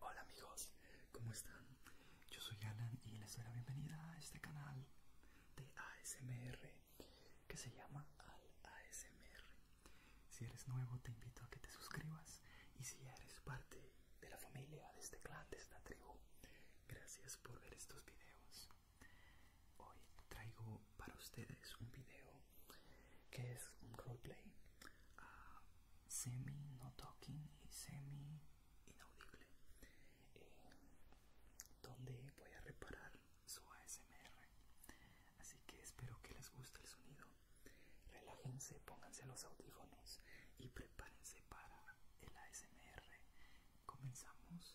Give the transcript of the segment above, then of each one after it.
Hola amigos, ¿cómo están? Yo soy Alan y les doy la bienvenida a este canal de ASMR que se llama Al ASMR. Si eres nuevo te invito a que te suscribas y si eres parte de la familia, de este clan, de esta tribu, gracias por ver estos videos. Hoy traigo para ustedes un video que es un roleplay ah, semi no talking y semi inaudible, eh, donde voy a reparar su ASMR. Así que espero que les guste el sonido. Relájense, pónganse los audífonos y prepárense para el ASMR. Comenzamos.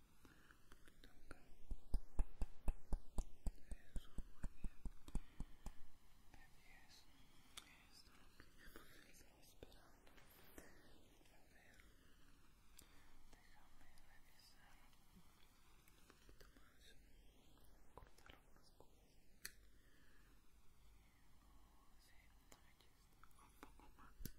poquito acá eso muy bien así es esto lo que yo estaba esperando a ver déjame revisar un poquito más cortar algunas cosas Sí, un poco más. Eso,